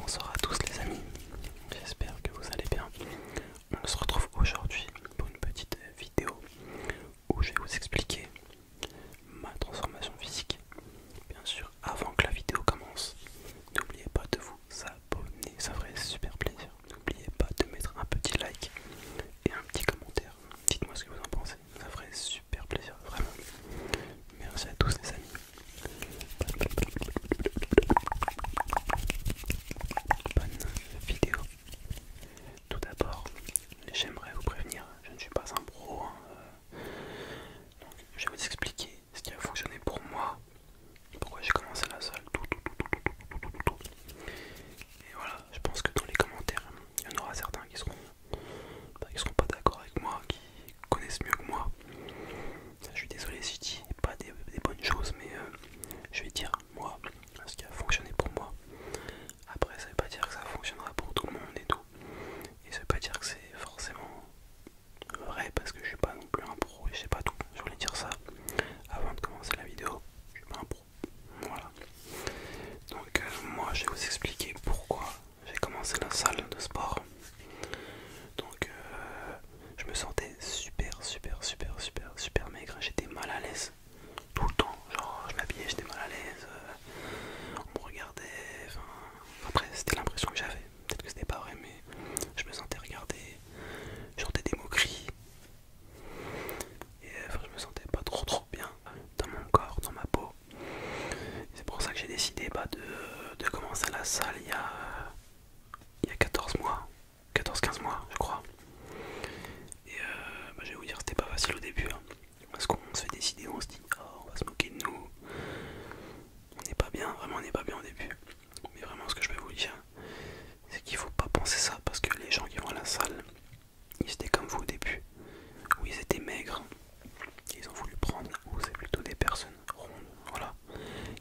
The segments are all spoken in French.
Bonsoir à tous les amis, j'espère que vous allez bien. On se retrouve aujourd'hui pour une petite vidéo où je vais vous expliquer ma transformation physique. Bien sûr, avant que la vidéo commence, n'oubliez pas de vous abonner, ça ferait super plaisir. N'oubliez pas de mettre un petit like et un petit commentaire. Dites-moi ce que vous en pensez, ça ferait super plaisir, vraiment. Merci à tous les amis. Bonne vidéo. Tout d'abord, j'aimerais vous prévenir, je ne suis pas un pro. Hein, euh. je vais vous expliquer ce qui a fonctionné pour moi, pourquoi j'ai commencé la salle, Et voilà, je pense que dans les commentaires, il y en aura certains qui seront, bah, qui seront pas d'accord avec moi, qui connaissent mieux que moi. Je suis désolé si je dis pas des, bonnes choses, mais euh, je vais dire moi ce qui a fonctionné pour moi. Après, ça veut pas dire que ça fonctionnera pour tout le monde et tout, et ça veut pas dire que c'est forcément vrai parce que je suis pas non plus un pro et je sais pas tout. Je voulais dire ça avant de commencer la vidéo. Je suis pas un pro voilà. Donc euh, moi je vais vous expliquer pourquoi j'ai commencé la salle de sport. Donc euh, je me sentais super super super super super maigre, j'étais mal à l'aise tout le temps, genre je m'habillais, j'étais mal à l'aise, euh, on me regardait, après c'était l'impression que j'avais, peut-être que c'était pas vrai mais je me sentais regardé, je des moqueries, et euh, je me sentais pas trop trop bien dans mon corps, dans ma peau. C'est pour ça que j'ai décidé bah, de, de commencer la salle il y a, il a 14 mois, 14-15 mois je crois. Et euh, bah, je vais vous dire, c'était pas facile au début. Hein. parce qu'on se fait décider, on se dit, oh, on va se moquer de nous. On n'est pas bien, vraiment on n'est pas bien au début. Mais vraiment ce que je vais vous dire, c'est qu'il faut pas penser ça parce que les gens qui vont à la salle, ils étaient comme vous au début, où ils étaient maigres. Ils ont voulu prendre, ou c'est plutôt des personnes rondes, voilà,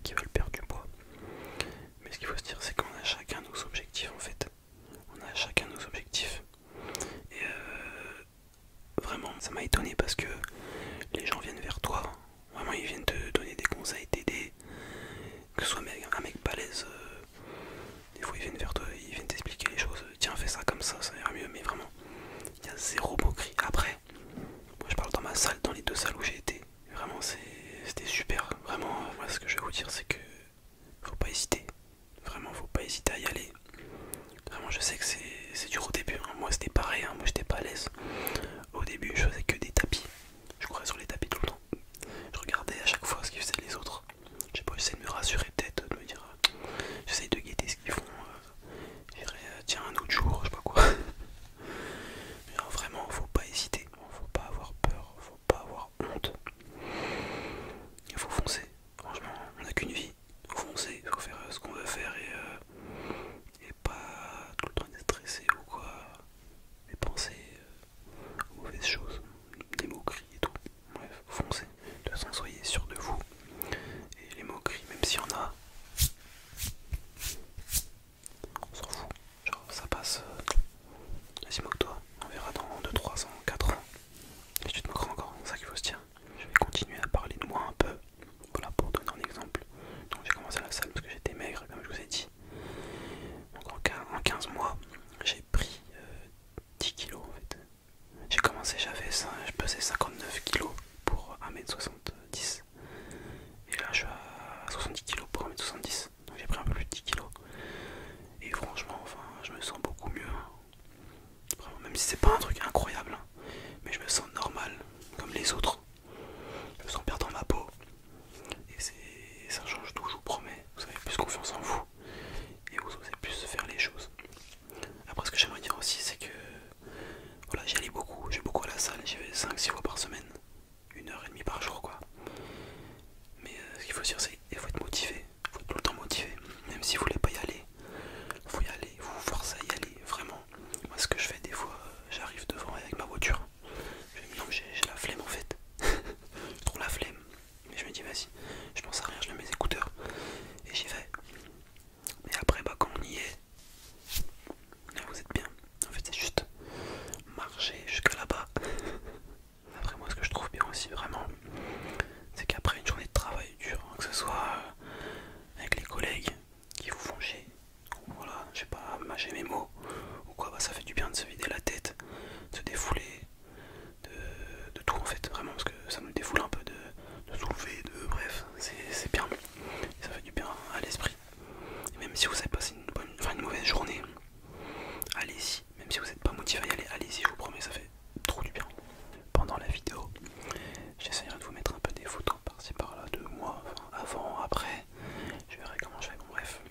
qui veulent perdre du poids. Mais ce qu'il faut se dire, c'est qu'on a chacun nos objectifs en fait. On a chacun nos objectifs. Et euh, vraiment, ça m'a étonné parce que les gens viennent vers toi. Vraiment, ils viennent te donner des conseils, t'aider, que ce soit un mec balèze, euh, des fois ils viennent vers toi, ils viennent t'expliquer les choses, tiens fais ça comme ça, ça ira mieux, mais vraiment, il y a zéro cri Après, moi je parle dans ma salle, dans les deux salles où j'ai été, vraiment c'était super, vraiment, euh, moi ce que je vais vous dire c'est que faut pas hésiter, vraiment faut pas hésiter à y aller. Vraiment je sais que c'est dur au début, hein. moi c'était pareil, hein. moi j'étais pas à l'aise. Au début je faisais que des tapis, je courais sur les tapis tout le temps. Je regardais à chaque fois ce qu'ils faisaient les autres. J'ai pas essayé de me rassurer peut-être, de me dire euh, j'essaye de guetter ce qu'ils font. Euh, euh, tiens un autre jour, je sais pas quoi. vraiment, faut pas hésiter, faut pas avoir peur, faut pas avoir honte. Il faut foncer. Franchement, on a qu'une vie. Faut foncer, faut faire ce qu'on veut faire et, et pas tout le temps être stressé ou quoi les pensées aux euh, mauvaises choses, des moqueries et tout. Bref, foncez. De toute façon, soyez sûr de vous. Et les moqueries, même s'il y en a, on s'en fout. Genre, ça passe. Euh, vas-y, moque-toi. On verra dans 2, 3 ans, 4 ans. Et tu te moqueras encore, c'est ça qu'il faut se dire. Je vais continuer à parler de moi un peu. Voilà pour donner un exemple. Donc j'ai commencé à la salle parce que j'étais maigre, comme je vous ai dit donc en 15 mois, j'ai pris 10 euh, kg J'ai commencé, j'avais je pesais 59 kg pour 1m70 et là je suis à 70 kg pour 1m70 donc j'ai pris un peu plus de 10 kg. et franchement enfin je me sens beaucoup mieux hein. même si c'est pas un truc incroyable hein. mais je me sens normal comme les autres je me sens bien dans ma peau et ça change tout, je vous promets. Vous avez plus confiance en vous et vous osez plus faire les choses. Après, ce que j'aimerais dire aussi, c'est que voilà, j'y allais beaucoup, j'ai beaucoup à la salle, j'y vais 5-6 fois par semaine, une heure et demie par jour, quoi. Mais euh, ce qu'il faut dire, c'est qu'il faut être motivé, il faut être tout le temps motivé, même si vous voulez pas y aller, faut y aller, vous vous forcez à y aller, vraiment. Moi, ce que je fais des fois, euh, j'arrive devant avec ma voiture, non, j'ai la flemme en fait. Trop la flemme. Mais je me dis, vas-y, je pense à rien, je mets mes écouteurs et j'y vais. Mais après, bah, quand on y est, là vous êtes bien. En fait, c'est juste marcher jusqu'à là-bas. Après, moi, ce que je trouve bien aussi, vraiment, c'est qu'après une journée de travail dur, hein, que ce soit avec les collègues qui vous font chier, voilà, je sais pas mâcher mes mots ou quoi, bah, ça fait du bien de se vider la tête, de se défouler, de, tout en fait, vraiment, parce que ça nous défoule un peu de, de soulever, de bref, c'est bien, ça fait du bien à l'esprit. Même si vous avez passé une, bonne, mauvaise journée, allez-y, même si vous n'êtes pas motivé à y aller, allez-y, je vous promets, ça fait trop du bien. Pendant la vidéo, j'essaierai de vous mettre un peu des photos par-ci par-là de moi, avant, après, je verrai comment je fais, bref,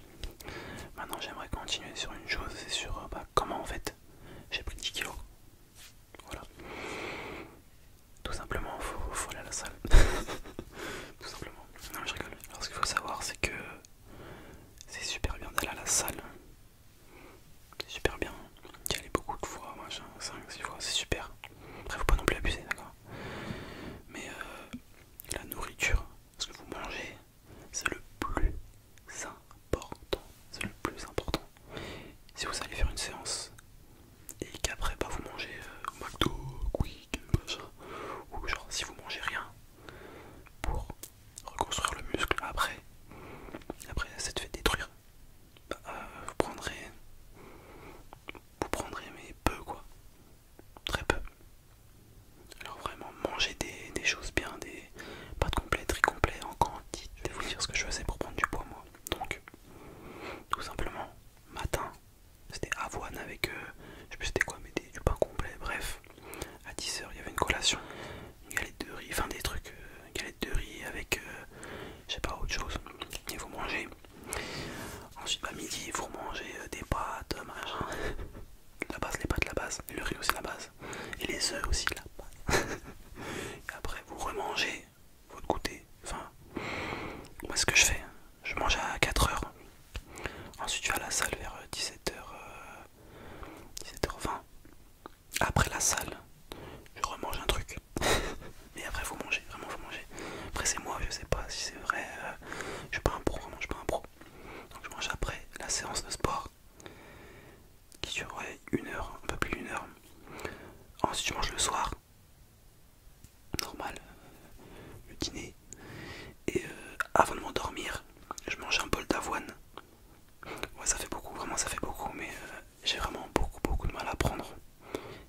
Maintenant j'aimerais continuer sur une chose, c'est sur euh, bah, comment en fait j'ai pris 10 kilos. Voilà. Tout simplement, faut, aller à la salle. Tout simplement. Non je rigole. Alors ce qu'il faut savoir c'est que c'est super bien d'aller à la salle. C'est super bien. J'y aller beaucoup de fois, machin, 5, 6 fois, c'est super. Après faut pas non plus abuser, d'accord Mais euh, la nourriture, ce que vous mangez, c'est le plus important. C'est le plus important. Si vous allez faire une séance et qu'après bah, vous mangez euh, McDo, Quick, ou genre si vous mangez rien pour reconstruire le muscle après, après te fait détruire, bah, euh, vous prendrez, vous prendrez mais peu quoi très peu. Alors vraiment manger des, choses bien, des pâtes complets, très complet en quantité. Je vais vous dire ce que je faisais pour prendre du poids moi. Donc tout simplement matin, c'était avoine avec, euh, je sais plus c'était quoi, mais des, du pain complet. Bref, à 10h il y avait une collation, une galette de riz, enfin des trucs, euh, une galette de riz avec, euh, je sais pas autre chose. Et vous mangez Ensuite, à midi, vous mangez euh, des pâtes, euh, machin. La base, les pâtes, la base. le riz aussi, la base. Et les œufs aussi, la base. après, vous remangez votre goûter. Enfin, moi, ce que je fais, je mange à 4h. Ensuite, je vais à la salle vers 17h. Euh, 17h20. Après la salle, je remange un truc. mais après vous manger, vraiment vous manger. Après c'est moi, je sais pas si c'est vrai, euh, je suis pas un pro, vraiment je suis pas un pro. Donc je mange après la séance de sport qui dure une heure, un peu plus d'une heure. Ensuite je mange le soir, normal, euh, le dîner. Et euh, avant de m'endormir, je mange un bol d'avoine. Ouais ça fait beaucoup, vraiment ça fait beaucoup, mais j'ai vraiment beaucoup beaucoup de mal à prendre.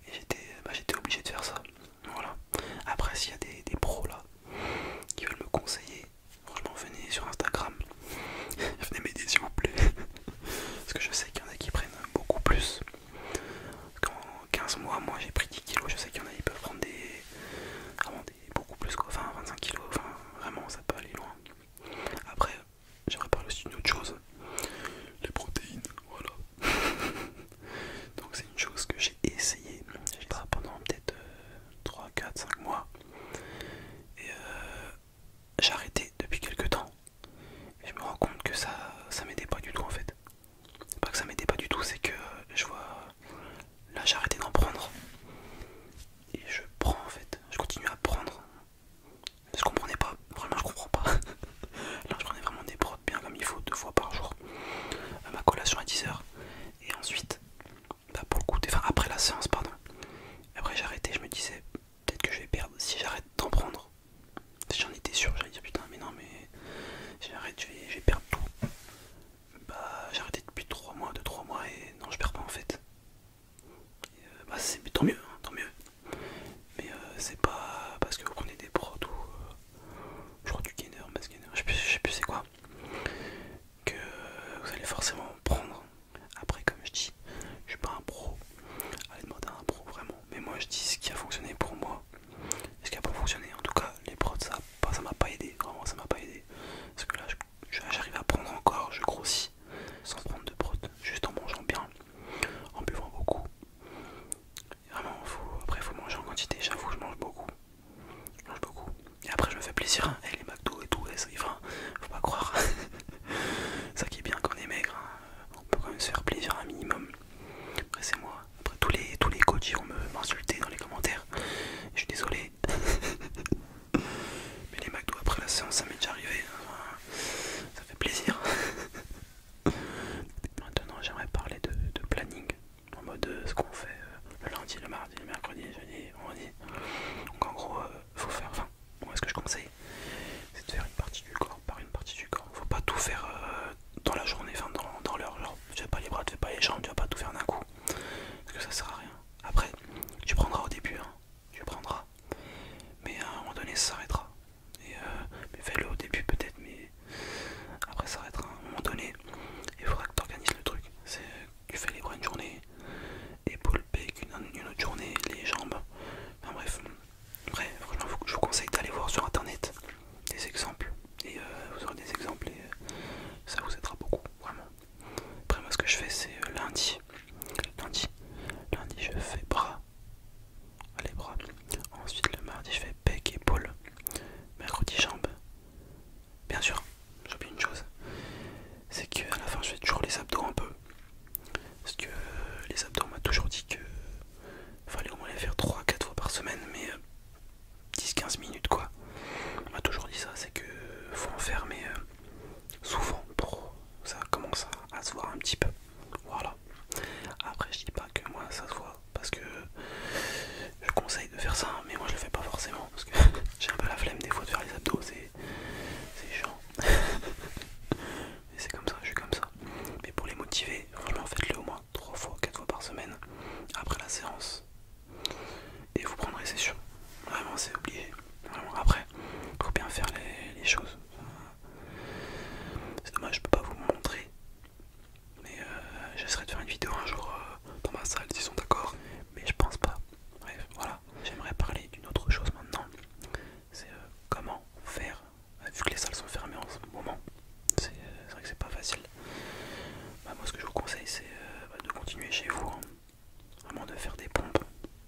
Et j'étais bah, obligé de faire ça. Voilà. Après, s'il y a des, pros là qui veulent me conseiller, franchement, venez sur Instagram. venez m'aider s'il vous plaît. Parce que je sais qu'il y en a qui prennent beaucoup plus. quand qu'en 15 mois, moi j'ai pris 10 kilos. Je sais qu'il y en a qui peuvent prendre des. beaucoup plus quoi. 25 kilos. Enfin, vraiment, ça peut aller loin. Après, j'aimerais parler aussi d'une autre chose les protéines. Voilà. Donc c'est une chose que j'ai essayé, pendant peut-être 3, 4, 5 mois. Et euh, j'ai arrêté depuis quelques temps. Et je me rends compte que ça ça m'aidait pas du tout en fait. Pas que ça m'aidait pas du tout, c'est que je vois... Là j'ai arrêté d'en prendre. Et je prends en fait, je continue à prendre. Je comprenais pas, vraiment je comprends pas. Là, je prenais vraiment des prods bien comme il faut, deux fois par jour. à euh, ma collation à 10h. Et ensuite, bah, pour le après la séance, pardon. Après, j'arrêtais, je me disais, peut-être que je vais perdre si j'arrête d'en prendre. J'en étais sûr, j'allais dire putain, mais non, mais j'arrête, j'ai perdu. tout. Bah, j'ai depuis 3 mois, 2-3 mois, et non, je perds pas en fait. Euh, bah, c'est tant mieux, hein, tant mieux mais euh, c'est pas parce que vous prenez des prods ou je euh, crois du gainer, mais je sais plus, c'est quoi que vous allez forcément prendre. Après, comme je dis, je suis pas un pro, allez demander à un pro vraiment, mais moi je dis ce qui a fonctionné pour moi et ce qui a pas fonctionné. En tout cas, les prods ça m'a pas aidé, vraiment ça m'a pas aidé parce que là j'arrive à prendre encore, je grossis sans prendre de prods, juste en mangeant bien, en buvant beaucoup Vraiment, ah, faut, après faut manger en quantité, j'avoue je mange beaucoup. Je mange beaucoup. Et après je me fais plaisir, hein. les McDo et tout, ça, faut pas croire. ça qui est bien quand on est maigre, hein. on peut quand même se faire plaisir un minimum. Après c'est moi. Après tous les tous les coachs vont m'insulter dans les commentaires. Je suis désolé. Mais les McDo après la séance ça m'est déjà arrivé. Hein. ça fait plaisir. Maintenant, j'aimerais parler de, planning, en mode euh, ce qu'on fait euh, le lundi, le mardi, le mercredi, le jeudi, on vendredi. Donc en gros, euh, faut faire, enfin, moi ce que je conseille, c'est de faire une partie du corps par une partie du corps. Faut pas tout faire dans la journée, enfin dans, l'heure, tu fais pas les bras, tu fais pas les jambes, tu vas pas tout faire d'un coup. Parce que ça sert à rien. Après, tu prendras au début, hein, tu prendras. Mais à un moment donné, ça s'arrêtera. Et fais-le euh, au début peut-être, mais après ça arrêtera à un moment donné. Il faudra que tu organises le truc. C'est tu fais les bras une journée, épaules, bec, une, autre journée, les jambes. Enfin bref, bref franchement, je vous conseille d'aller voir sur internet des exemples. Et euh, vous aurez des exemples et euh, ça vous aidera beaucoup, vraiment. Après moi ce que je fais c'est lundi. Lundi, lundi je fais bras Allez, Les bras. Ensuite, le mardi, je fais pec, épaule. Mercredi, jambes. Bien sûr, j'oublie une chose c'est qu'à la fin, je fais toujours les abdos un peu. Parce que euh, les abdos, on m'a toujours dit que euh, fallait au moins les faire 3-4 fois par semaine, mais 10-15 euh, minutes quoi. On m'a toujours dit ça, c'est que faut en faire, mais souvent pour ça commence à se voir un petit peu. Voilà. Après, je dis pas que moi ça se voit parce que je conseille de faire ça, mais moi je le fais pas forcément parce que j'ai un peu la flemme des fois de faire les abdos, c'est chiant. Mais c'est comme ça, je suis comme ça. Mais pour les motiver, vraiment faites-le au moins 3 fois, 4 fois par semaine après la séance. Et vous prendrez, c'est sûr. Vraiment, c'est obligé. Vraiment, après, faut bien faire les choses. C'est dommage, je peux pas vous montrer. Mais euh, j'essaierai de faire une vidéo un jour euh, dans ma salle s'ils sont d'accord. Mais je pense pas. Bref, voilà. J'aimerais parler d'une autre chose maintenant. C'est euh, comment faire, vu que les salles sont fermées en ce moment. C'est vrai que c'est pas facile. Bah, moi, ce que je vous conseille, c'est bah, de continuer chez vous. Hein. Vraiment de faire des pompes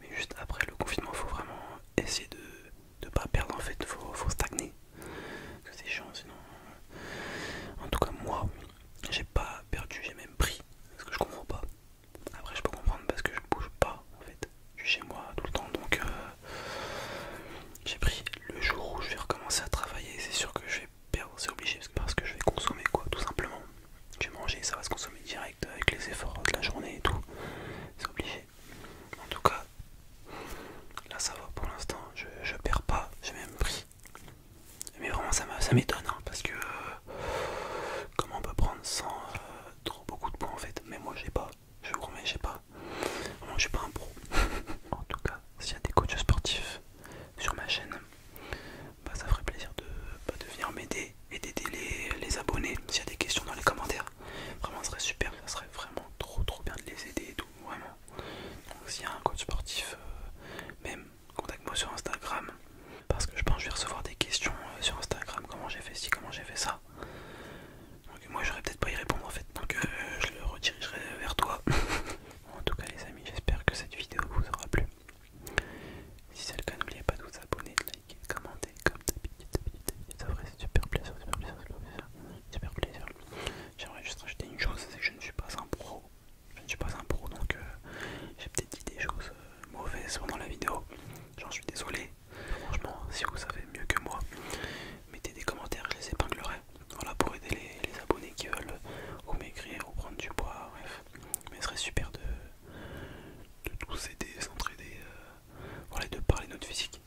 Mais juste après le confinement, faut vraiment essayer de ne pas perdre en fait, faut, stagner. Parce que c'est chiant sinon. En tout cas, moi, j'ai pas perdu, j'ai même pris. Parce que je comprends pas. Après, je peux comprendre parce que je bouge pas en fait. Je suis chez moi tout le temps donc euh, j'ai pris le jour où je vais recommencer à travailler. C'est sûr que je vais c'est obligé parce que je vais consommer quoi, tout simplement. Je vais manger, ça va se consommer direct avec les efforts de la journée et tout. C'est obligé. En tout cas, là ça va pour l'instant, je, je perds pas, j'ai même pris. Mais vraiment ça m'étonne hein, parce que euh, comment on peut prendre sans euh, trop beaucoup de points en fait. Mais moi j'ai pas, je vous promets, j'ai pas. Moi je suis pas un pro. en tout cas, s'il y a des coachs sportifs sur ma chaîne, bah, ça ferait plaisir de, bah, de venir m'aider et d'aider les, abonnés s'il y a des questions dans les commentaires. Vraiment, ce serait super, ça serait vraiment trop trop bien de les aider et tout, vraiment. Donc s'il y a un coach sportif, euh, même contacte-moi sur Instagram parce que je pense que je vais recevoir des questions euh, sur Instagram, comment j'ai fait ci, comment j'ai fait ça. Donc moi j'aurais peut-être pas y répondre en fait, donc euh, je le redirigerai vers toi. en tout cas les amis, j'espère que cette vidéo vous aura plu. Si c'est le cas, n'oubliez pas de vous abonner, liker, commenter, comme d'habitude, ça ferait super plaisir, super plaisir, super plaisir, J'aimerais juste rajouter une chose, c'est que je ne suis pas un pro, je ne suis pas un pro, donc euh, j'ai peut-être dit des choses euh, mauvaises pendant la vidéo, j'en suis désolé. Franchement, si vous savez mieux que moi, mettez des commentaires, je les épinglerai. Voilà pour aider les, les abonnés qui veulent euh, ou maigrir ou prendre du bois, bref, mais ce serait super de, de tous aider, s'entraider, euh, de parler de notre physique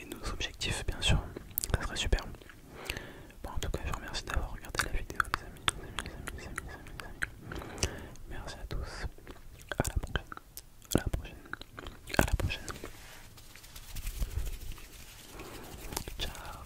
et de nos objectifs, bien sûr. Ça serait super. Bon, en tout cas, je vous remercie d'avoir regardé la vidéo, les amis, les amis, les amis, les amis, les amis, Merci à tous. À la prochaine. À la prochaine. À la prochaine. Ciao.